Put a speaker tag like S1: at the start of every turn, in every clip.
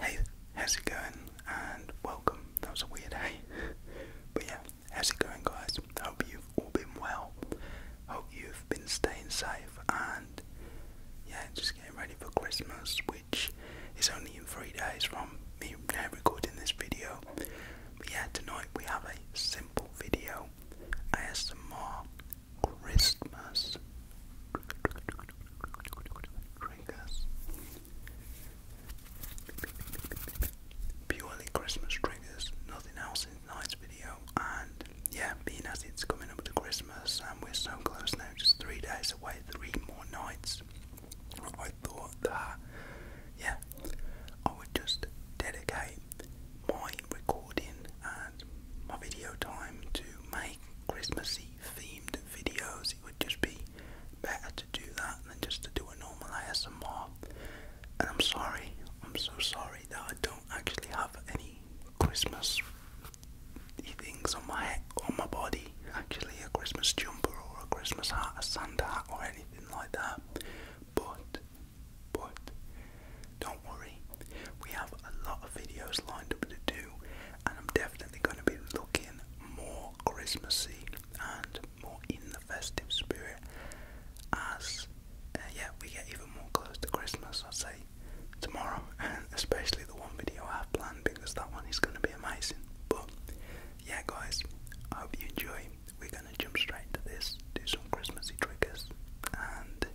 S1: Hey, how's it going? And welcome. That was a weird hey. But yeah, how's it going, guys? Hope you've all been well. Hope you've been staying safe and yeah, just getting ready for Christmas, which is only in three days from me recording this video. But yeah, tonight we have a simple video more Christmas triggers. Purely Christmas triggers, nothing else in tonight's video. And yeah, being as it's coming up to Christmas and we're so close now, just three days away, three more nights. I thought that, yeah, I would just dedicate my recording and my video time to make Christmassy themed videos would just be better to do that than just to do a normal ASMR. And I'm sorry, I'm so sorry that I don't actually have any Christmas things on my on my body. Actually, a Christmas jumper or a Christmas hat, a Santa hat, or anything like that. But, but, don't worry, we have a lot of videos lined up to do, and I'm definitely going to be looking more Christmassy and more in the festive spirit as uh, yeah we get even more close to Christmas. I'd say tomorrow, and especially the one video I have planned because that one is going to be amazing. But yeah, guys, I hope you enjoy. We're going to jump straight to this, do some Christmassy triggers, and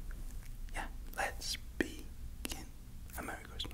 S1: yeah, let's begin a Merry Christmas.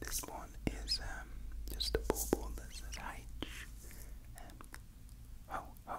S1: This one is um, just a bauble that says H. Um, ho, ho,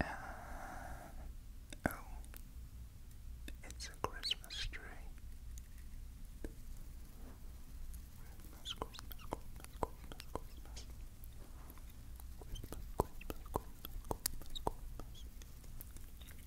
S1: Uh, oh, it's a Christmas tree. Christmas, Christmas, Christmas, Christmas. Christmas, Christmas, Christmas, Christmas, Christmas.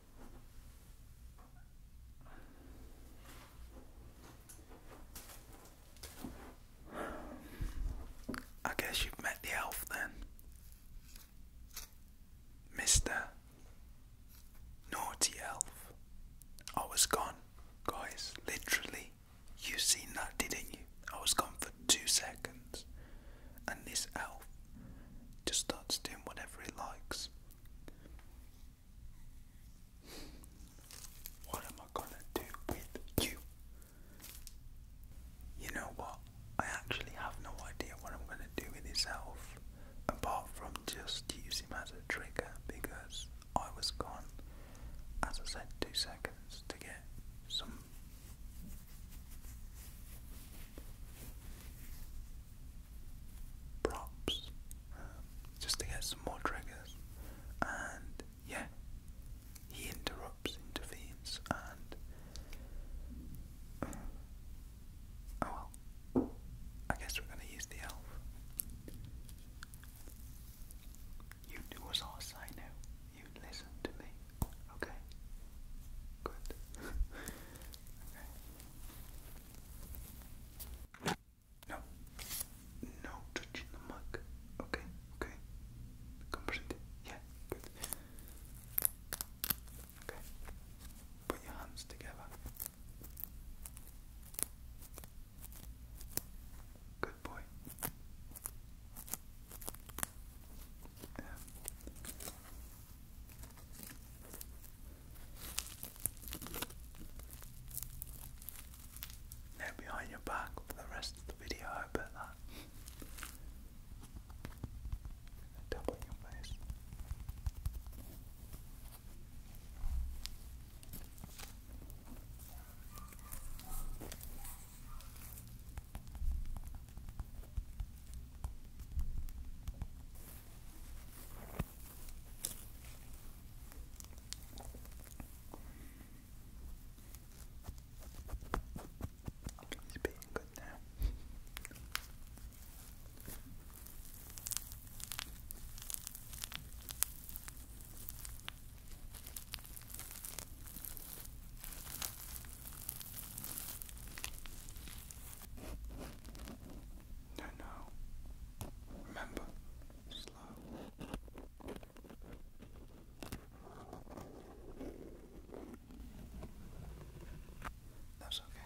S1: I guess you've met the elf then. Mr. Naughty Elf. I was gone, guys. Literally. You seen that, didn't you? I was gone for two seconds and this elf just starts doing whatever he likes. What am I gonna do with you? You know what? I actually have no idea what I'm gonna do with this elf apart from just use him as a trigger because I was gone, as I said, two seconds to get some props um, just to get some more triggers. And yeah, he interrupts, intervenes, and. oh well. I guess we're gonna use the elf. You do as I say now. You listen to me. Okay? Good. okay. No. No touching the mug. Okay, okay. Come Yeah, good. Okay. Put your hands together. Good boy. Um, no behind your back for the rest of the video, I that. Double your face. He's being good now. No, no. Remember, slow. That's okay.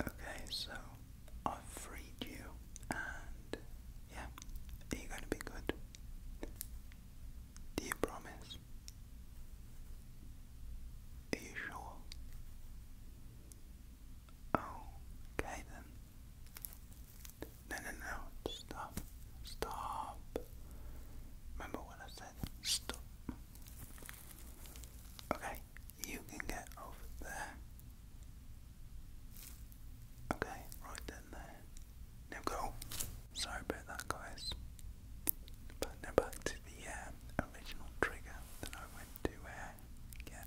S1: Okay, so I've freed you, and yeah, you're going to be good. Do you promise? Are you sure? Okay then. No, no, no, stop. Stop. Remember what I said? Stop. Okay, you can get over there. Okay, right then there. Now go. Sorry about that guys. But now back to the um, original trigger that I went to uh, get.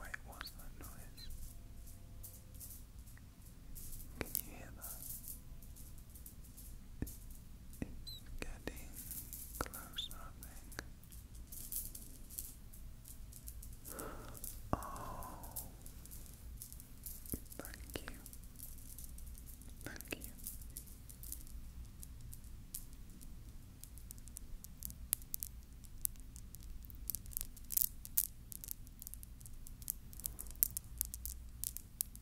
S1: Wait, what's that noise? Can you hear that? It's getting close, Oh, thank you. Thank you.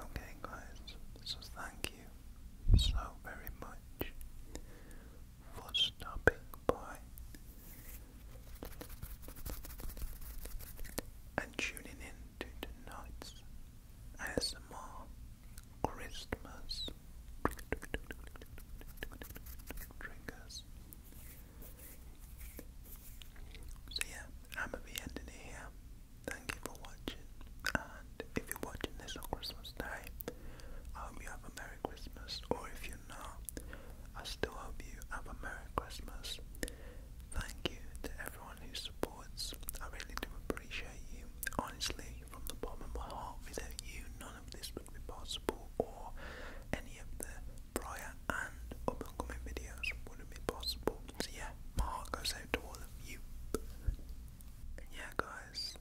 S1: Okay, guys, so thank you so very much for stopping by and tuning in to tonight's ASMR Christmas So yeah, I'm gonna be ending it here. Thank you for watching, and if you're watching this on Christmas Day, I hope you have a Merry Christmas. Or if you're not, I still hope you have a Merry Christmas. Thank you to everyone who supports. I really do appreciate you, honestly from the bottom of my heart, without you, none of this would be possible, or any of the prior and up videos wouldn't be possible. So, yeah, my heart goes out to all of you. yeah, guys,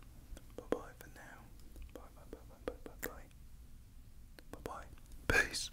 S1: bye bye for now. bye bye bye bye. Bye bye. Peace.